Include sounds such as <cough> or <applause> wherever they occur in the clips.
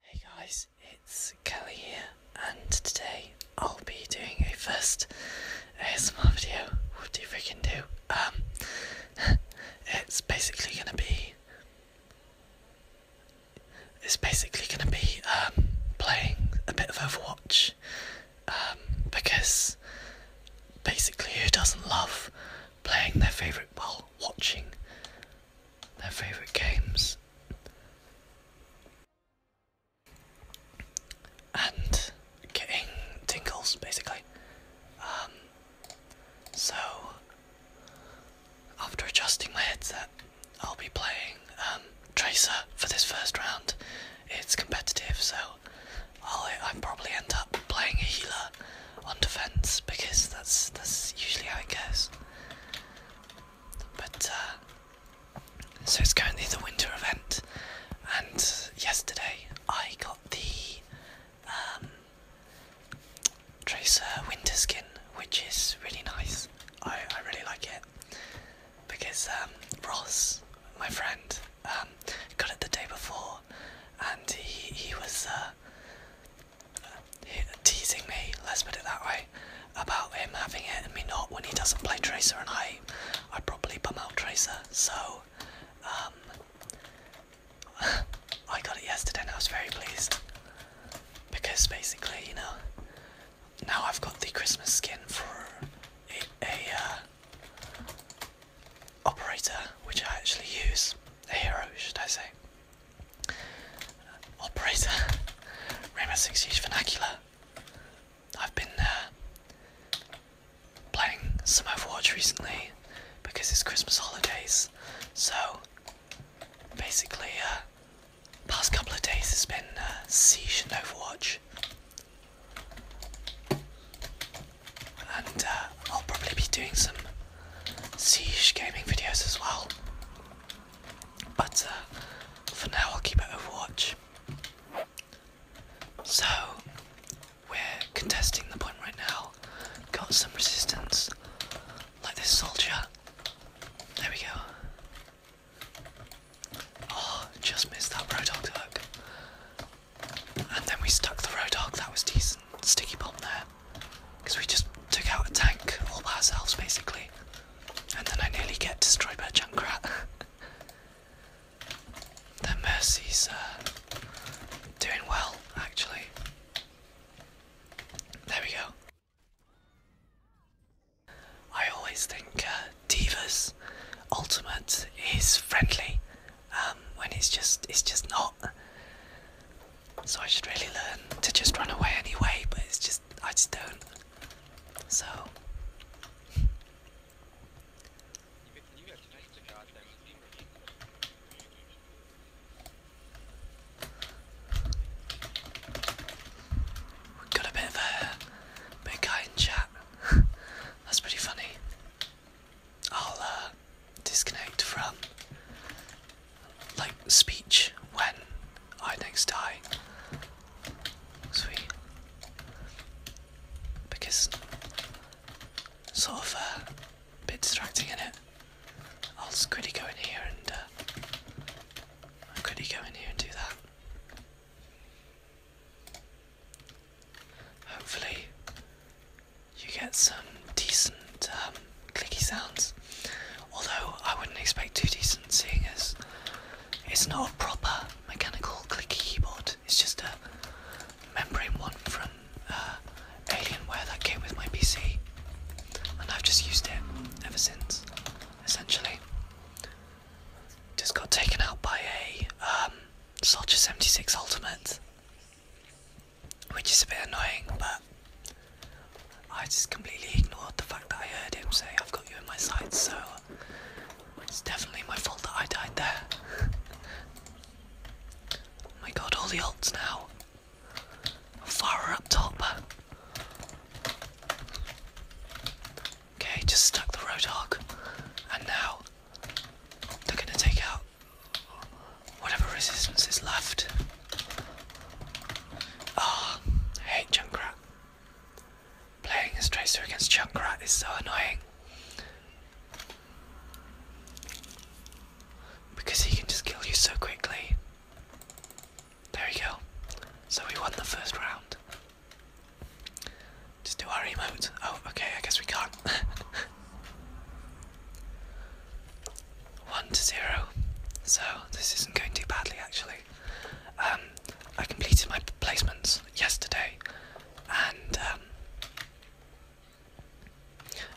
Hey guys, it's Kelly here, and today I'll be doing a first ASMR video. What do you freaking do? Um, <laughs> it's basically gonna be. It's basically gonna be um playing a bit of Overwatch, um because basically who doesn't love playing their favorite while watching their favourite games. And getting tingles basically. Um, so, after adjusting my headset, I'll be playing um, Tracer for this first round. It's competitive, so I'll, I'll probably end up playing a healer on defense because that's that's usually how it goes. But uh, so it's currently the winter event, and yesterday I got the um, Tracer Winter Skin, which is really nice. I, I really like it because um, Ross, my friend, um, got it the day before, and he he was uh, teasing me, let's put it that way, about him having it and me not when he doesn't play Tracer and I I probably bum out Tracer, so um <laughs> I got it yesterday and I was very pleased. Because basically, you know, now I've got the Christmas skin for a, a uh, operator which I actually use. A hero, should I say. Operator, Rama Six Vernacular. I've been uh, playing some Overwatch recently because it's Christmas holidays. So basically, uh, past couple of days has been uh, Siege and Overwatch. And I'll probably be doing some Siege gaming videos as well. But uh, for now, I'll keep it watch. So, we're contesting the point right now. Got some resistance, like this soldier. There we go. Oh, just missed that Roadhog hook. And then we stuck the Roadhog, that was decent. Sticky bomb there. Because we just took out a tank all by ourselves, basically. And then I nearly get destroyed by a Junkrat. <laughs> the Mercy's uh, doing well, actually. There we go. I always think uh, Divas Ultimate is friendly um, when it's just it's just not. So I should really learn to just run away anyway, but it's just, I just don't. So. got a bit of a big guy in chat. <laughs> That's pretty funny. I'll uh, disconnect from like speech when I next die. Sweet. Because sort of uh, a bit distracting in it. I'll just quickly go in here and uh, I'll quickly go in here and do that. Hopefully, you get some decent um, clicky sounds. Although I wouldn't expect too decent singers. it's not a proper mechanical clicky keyboard, it's just a membrane one from uh, Alienware that came with my PC. And I've just used it ever since, essentially. Just got taken out by a um, Soldier 76 Ultimate, which is a bit annoying, but I just completely ignored the fact that I heard him say, I've got you in my sights, so it's definitely my fault that I died there. oh my god, all the alts now. Fire up top. Okay, just stuck the Roadhog. And now they're gonna take out whatever resistance is left. Oh, I hate Junkrat. Playing as Tracer against Junkrat is so annoying. Because he can just kill you so quickly. There we go. So we won the first round. Just do our remote. Oh, okay, I guess we can't. <laughs> 1 to 0, so this isn't going too badly actually. Um, I completed my placements yesterday and. Um,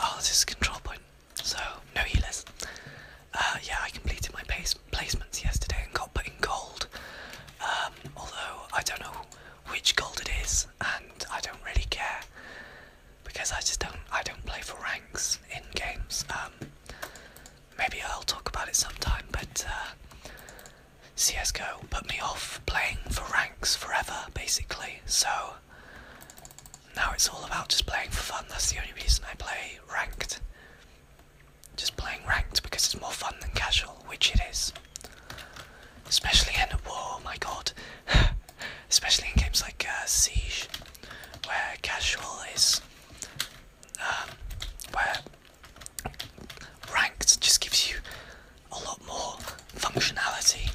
oh, this is control point, so no healers. Uh, yeah, I completed my placements yesterday and got put in gold. Um, although I don't know which gold it is, and I don't really care because I just don't. I don't play for ranks in games maybe I'll talk about it sometime, but uh, CSGO put me off playing for ranks forever, basically, so now it's all about just playing for fun. That's the only reason I play ranked. Just playing ranked because it's more fun than casual, which it is. Especially in a war, oh my god. <laughs> Especially in games like uh, Siege where casual is um, where ranked just gives you a lot more functionality,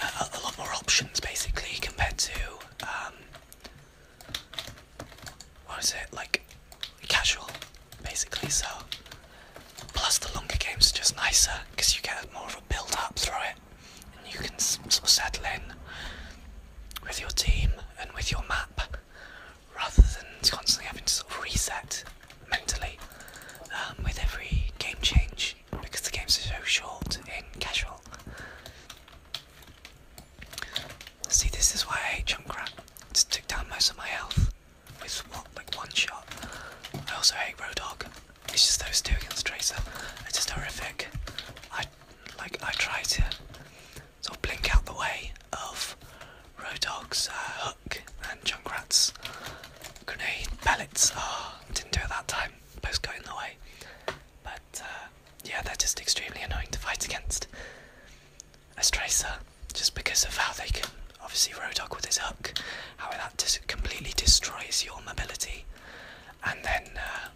uh, a lot more options basically compared to um, what is it like casual basically. So plus the longer games are just nicer because you get more of a build up through it you can sort of settle in with your team and with your map rather than constantly having to sort of reset mentally um, with every game change because the games are so short in casual. See, this is why I hate jump Junkrat. It just took down most of my health with what, like one shot. I also hate Roadhog. It's just those two against Tracer. They're just horrific. I I like I try to sort of blink out the way of Rodog's uh, hook and Junkrat's grenade pellets. Oh, didn't do it that time. Both got in the way. But uh, yeah, they're just extremely annoying to fight against. As Tracer, just because of how they can obviously Rodog with his hook, how that completely destroys your mobility. And then uh,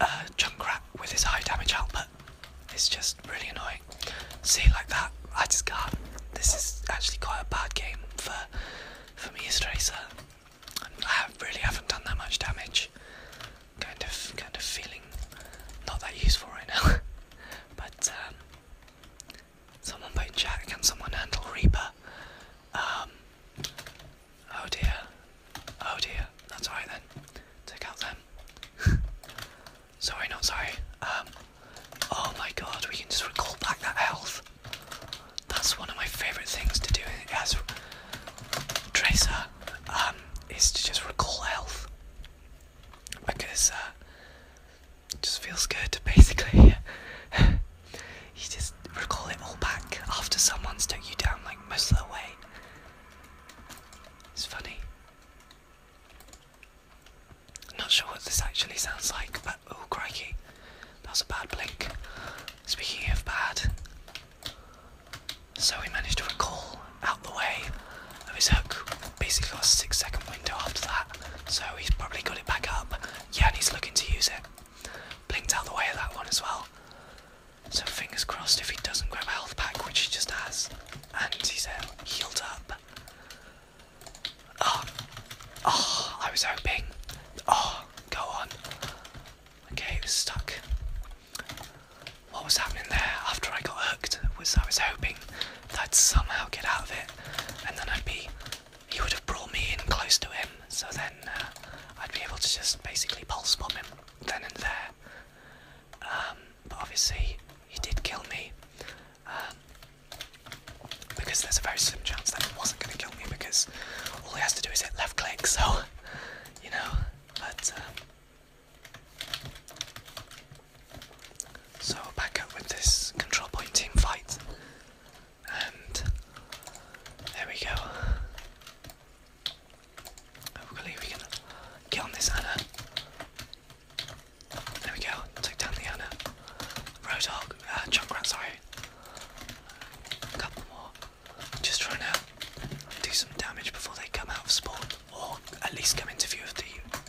uh, Junkrat with his high damage output its just really annoying. See, like that, I just can This is actually quite a bad game for for me as Tracer. I really haven't done that much damage. Kind of, kind of feeling not that useful right now. <laughs> but um, someone put Jack, chat, can someone handle Reaper? Um, Oh dear. Oh dear. That's alright then. Take out them. <laughs> sorry, not sorry. Um. Oh my god, we can just recall back that health. That's one of my favourite things to do as Tracer, um, is to just recall health. Because, uh, it just feels good, basically. <laughs> You just recall it all back after someone's took you down like most of the way. It's funny. not sure what this actually sounds like, but oh crikey. That was a bad blink. Speaking of bad, so we managed to recall out the way of his hook. Basically got a six second window after that. So he's probably got it back up. Yeah, and he's looking to use it. Blinked out the way of that one as well. So fingers crossed if he doesn't grab a health pack, which he just has, and he's uh, healed up. Oh, oh, I was hoping. Oh, go on. Okay, it was stuck. What was happening there after I got hooked was I was hoping that I'd somehow get out of it, and then I'd be he would have brought me in close to him, so then uh, I'd be able to just basically pulse bomb him then and there. Um, but obviously, he did kill me. Um, because there's a very slim chance that he wasn't going to kill me because all he has to do is hit left click, so, <laughs> you know, but, um, so back up with this control point team fight and there we go. Hopefully we can get on this ana. There we go, took down the ana. Roadhog, uh, Junkrat, sorry. A couple more. Just trying to do some damage before they come out of spawn, or at least come into view of the,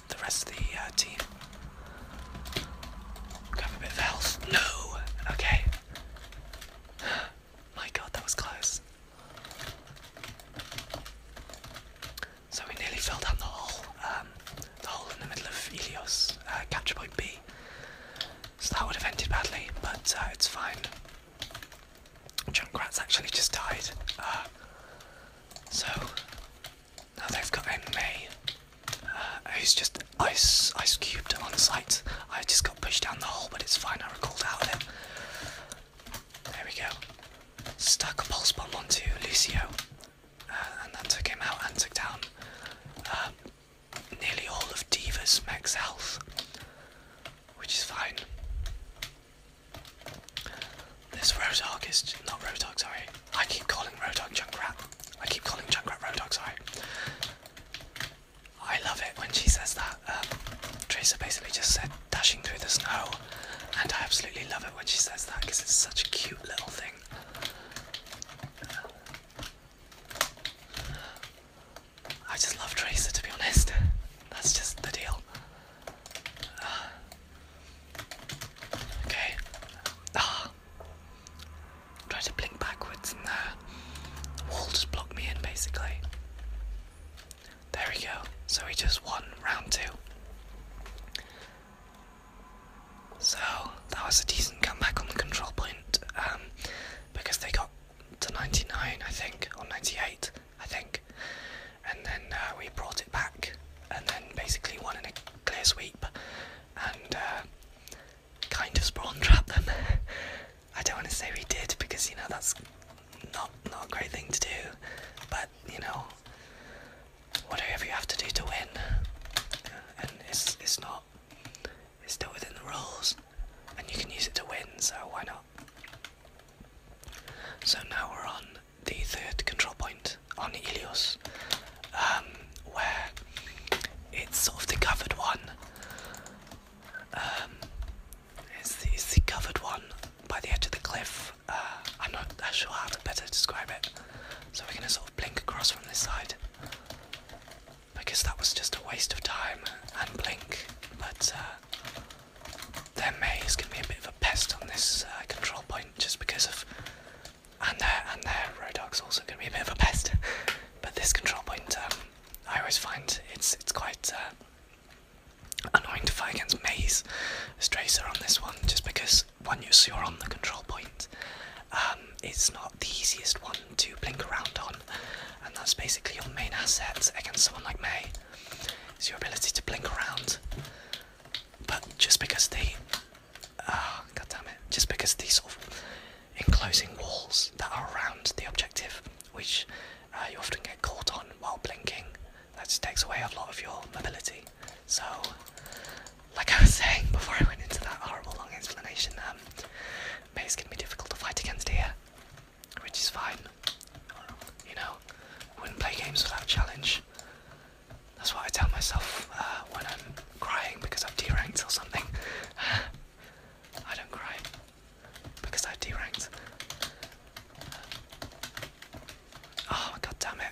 the rest of the uh, team. Grab a bit of No! Okay. <sighs> My god, that was close. So we nearly fell down the hole, um, the hole in the middle of Elios, uh, capture point B. So that would have ended badly, but uh, it's fine. Junkrat's actually just died. Uh, so now they've got Enmei, uh, who's just ice ice cubed on site. I just got pushed down the hole, but it's fine. I recalled out of it. There we go. Stuck a pulse bomb onto Lucio, uh, and that took him out and took down um, nearly all of Diva's max health, which is fine. This Roadhog is not Roadhog, sorry. I keep calling Roadhog Junkrat. I keep calling Junkrat Roadhog, sorry. I love it when she says that. Um, basically just said dashing through the snow, and I absolutely love it when she says that because it's such a cute little thing. I just love Tracer to be honest. <laughs> That's just the deal. Uh, okay. Ah, Try to blink backwards and the uh, wall just blocked me in basically. There we go. So we just won round two. So that was a decent comeback on the control point um, because they got to 99, I think, or 98, I think, and then uh, we brought it back and then basically won in a clear sweep. And uh, kind of spawn trap them. <laughs> I don't want to say we did because you know that's not not a great thing to do, but you know whatever you have to do to win, and it's it's not it's still within the rules, and you can use it to win, so why not? So now we're on the third control point on Ilios, um, where it's sort of the covered one, um, it's the, covered one by the edge of the cliff. Uh, I'm not sure how to better describe it. So we're gonna sort of blink across from this side. Because that was just a waste of time and blink. But uh, their maze can be a bit of a pest on this uh, control point just because of. And their, and their Rodog's also gonna be a bit of a pest. <laughs> but this control point um, I always find it's it's quite uh, annoying to fight against May's strayer on this one, just because once you're on the control point, um, it's not the easiest one to blink around on, and that's basically your main asset against someone like May. Is your ability to blink around, but just because they, ah, oh, just because they sort enclosing walls that are around the objective, which uh, you often get caught on while blinking. That takes away a lot of your mobility. So, like I was <laughs> saying before I went into that horrible long explanation, um, maze can be difficult to fight against here, which is fine. You know, I wouldn't play games without challenge. That's why I tell myself uh, when I'm crying because I've deranked or something. <laughs> I don't cry because I deranked. Oh god damn it!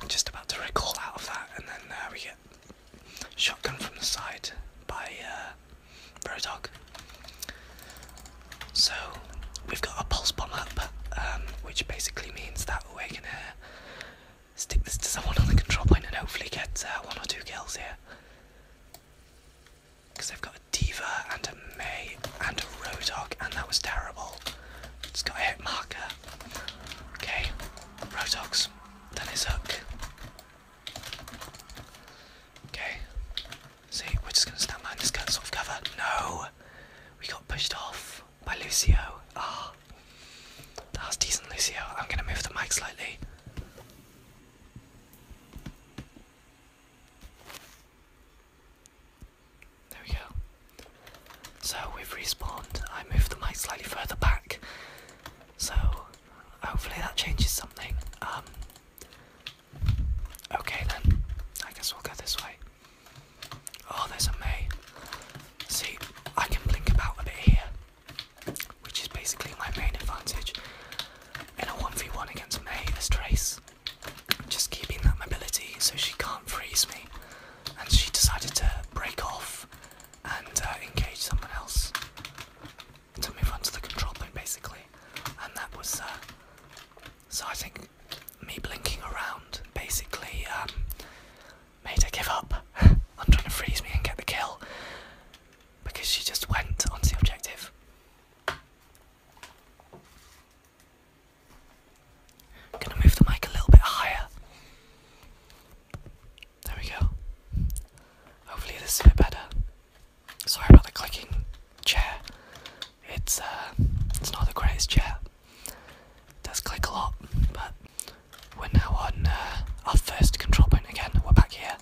I'm just about to recall out of that, and then uh, we get shotgun from the side by uh, Roadhog. So we've got a pulse bomb up, um, which basically means that we're gonna stick this to someone on the control point and hopefully get uh, one or two kills here. Because they've got a Diva and a May and a Roadhog, and that was terrible. It's got a hit marker. Okay, Roadhog's done his hook. Okay, see, we're just going to stand behind this sort of cover. No! We got pushed off by Lucio. Ah, that was decent, Lucio. I'm going to move the mic slightly. There we go. So we've respawned. I move the mic slightly further back. So hopefully that changes something. Um, okay then. I guess we'll go this way. Oh, there's a May. See, I can blink about a bit here which is basically my main advantage in a 1v1 against May as Trace. Just keeping that mobility so she can't freeze me. And she decided to break off and uh, engage someone else to move on to the control point basically. And that was, uh, so I think me blinking around basically um, made her give up. <laughs> I'm trying to freeze me and get the kill because she just went onto the objective. gonna move the mic a little bit higher. There we go. Hopefully this is a bit better. Sorry about the clicking chair. It's uh, it's not the greatest chair. does click a lot, but we're now on uh, our first control point again. We're back here,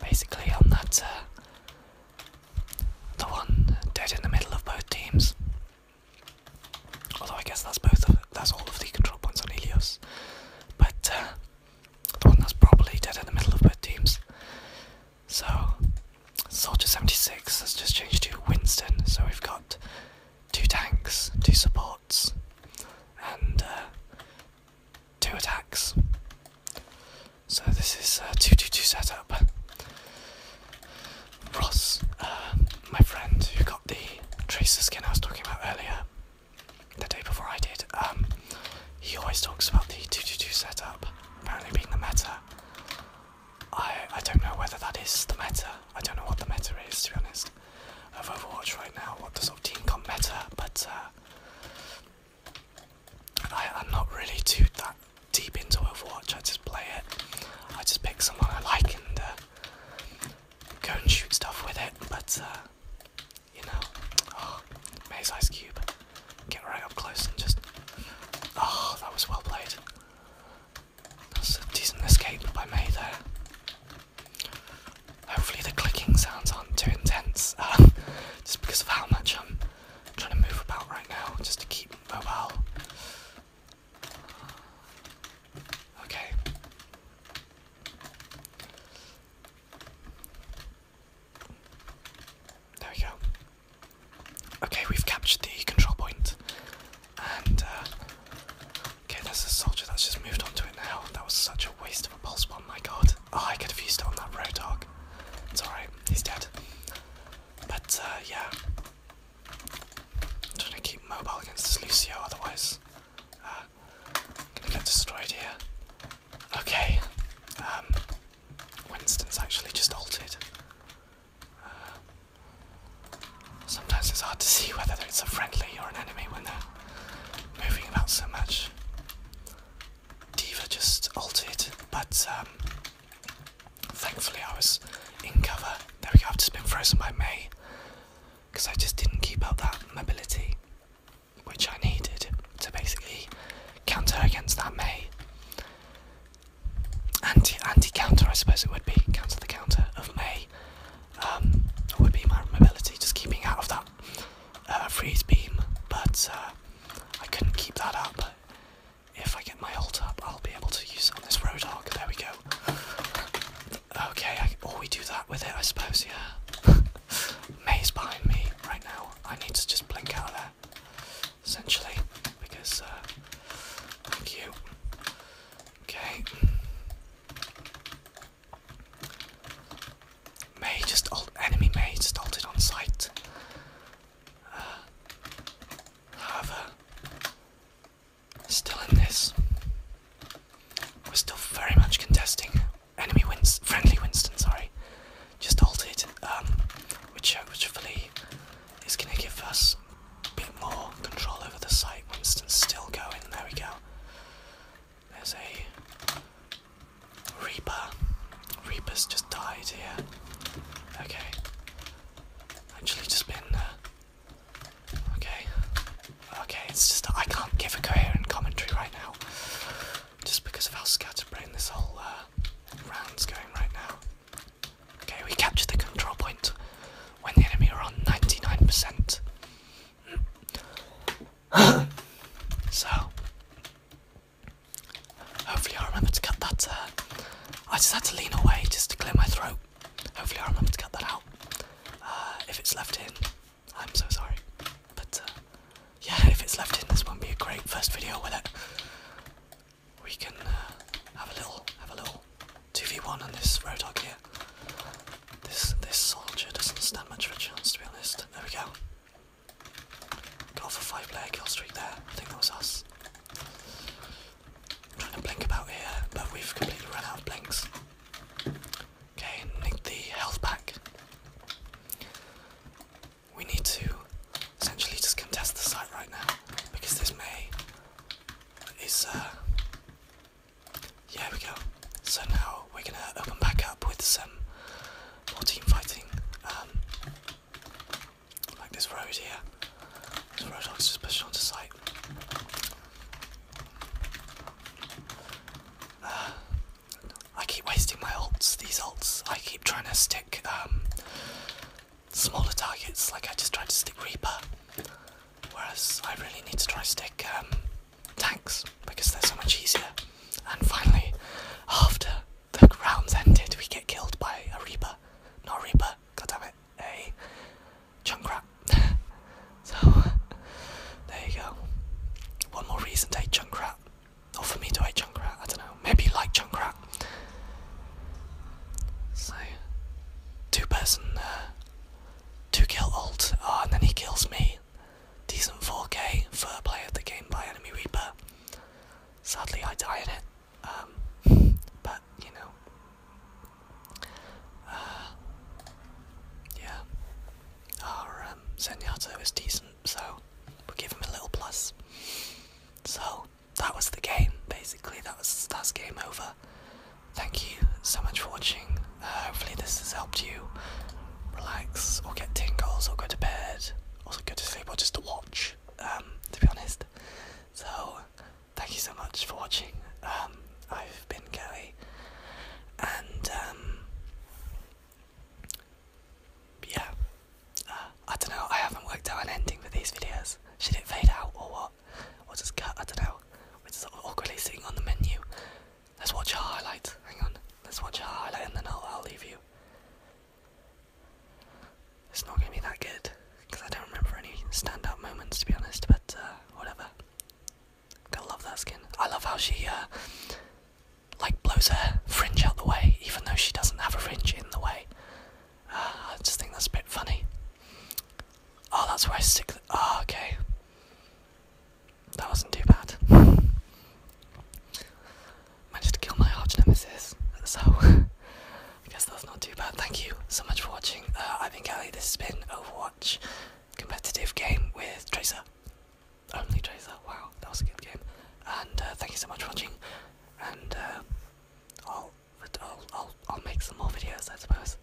basically on that uh, the one dead in the middle of both teams. Although I guess that's both that's all of the control points on Helios, but uh, the one that's probably dead in the middle of both teams. So Soldier 76 has just changed to Winston. So we've got two tanks, two support and uh, two attacks. So this is a two-two-two setup. Ross, uh, my friend who got the tracer skin I was talking about earlier, the day before I did, um, he always talks about the two-two-two setup apparently being the meta. I, I don't know whether that is the meta. I don't know what the meta is to be honest of Overwatch right now, what does team comp meta, but uh, I, am not really too that deep into Overwatch, I just play it, I just pick someone I like and uh, go and shoot stuff with it, but uh, you know, oh, Maze Ice Cube, get right up close and just, oh that was well played. That's a decent escape by May there. Hopefully the clicking sounds aren't too intense, <laughs> uh, just because of how much I'm trying to move about right now, just to keep mobile. Okay. There we go. Okay, we've captured the control point, and uh, Okay, there's a soldier that's just moved onto it now. That was such a waste of a pulse bomb, my god. Oh, I could have used it on that road dog. It's alright, he's dead. But, uh, yeah. I'm trying to keep mobile against this Lucio, otherwise, uh, gonna get destroyed here. Okay, um, Winston's actually just altered. Uh, sometimes it's hard to see whether it's a friendly or an enemy when they're moving about so much. Diva just altered, but um, thankfully I was in cover. There we go, I've just been frozen by May because I just didn't keep up that mobility which I needed to basically counter against that May. Anti anti counter, I suppose it would be. Counter the counter of May um, would be my mobility, just keeping out of that uh, freeze beam. But uh, I couldn't keep that up. If I get my ult up, I'll be able to use it on this road arc. There we go. Okay, or oh, we do that with it, I suppose, yeah. <laughs> Maze behind me right now. I need to just blink out of there, essentially, because, uh, you. Okay. May just old enemy May just ulted on sight. Uh, however, still in this. We're still very much contesting. Enemy wins friendly Winston, sorry. Just halted, um, which hopefully uh, is gonna give us a bit more control over the site. Winston's still going, there we go. There's a Reaper. Reaper's just died here. Okay. Actually, just been. Uh, okay. Okay, it's just I can't give a coherent commentary right now, just because of how scatterbrained this whole uh, round's going right now. Okay, we captured the control point when the enemy are on 99%. <gasps> so hopefully I remember to cut that. Uh, I just had to lean away just to clear my throat. Hopefully I remember to cut that out. Uh, if it's left in, I'm so sorry. But uh, yeah, if it's left in, this won't be a great first video with it. We can have a little, have a little two v one on this road dog here. This this soldier doesn't stand much of a chance to be honest. There we go. Got off a five player kill streak there. I think that was us. trying to blink about here, but we've completely run out of blinks. Okay, need the health pack. We need to essentially just contest the site right now because this may is uh, yeah, we go. So now we're gonna open back up with some more team fighting. Um, like this road here. So road I was just pushing onto site. Uh, I keep wasting my ults, these ults. I keep trying to stick um, smaller targets, like I just tried to stick Reaper. Whereas I really need to try stick um, tanks because they're so much easier. And finally, after the rounds ended, we get killed by a Reaper. Not a Reaper, god damn it, a Junkrat. <laughs> so, there you go. One more reason to hate Junkrat. Not for me to hate Junkrat, I don't know. Maybe you like Junkrat. So, two person, uh, two kill alt. Oh, ah, and then he kills me decent 4K for play of the game by Enemy Reaper. Sadly, I die in it, um, <laughs> but you know, uh, yeah, our um, Zenyatta is decent, so we'll give him a little plus. So that was the game, basically. That was that's game over. Thank you so much for watching hopefully, this has helped you relax or get tingles or go to bed, or go to sleep, or just to watch. Um, to be honest, so thank you so much for watching. Um, I've been Kelly, and um, yeah, uh, I don't know. I haven't worked out an ending for these videos. Should it fade out or what? Or just cut? I don't know. We're just sort of awkwardly sitting on the menu. Let's watch a highlight. Hang on. Let's watch a highlight and then I'll, I'll leave you. It's not going to be that good because I don't remember any standout moments to be honest, but uh, whatever. Gotta love that skin. I love how she, uh, like, blows her fringe out the way even though she doesn't have a fringe in the way. Ah, I just think that's a bit funny. Oh, that's where I stick. The oh, okay. That wasn't too bad. <laughs> Managed to kill my arch nemesis, so <laughs> I guess that's not too bad. Thank you so much for watching. Uh, I've been Kelly, this has been Overwatch competitive game with Tracer. Only Tracer, wow, that was a good game. And uh, thank you so much for watching, and uh, I'll, I'll, I'll, I'll make some more videos, I suppose.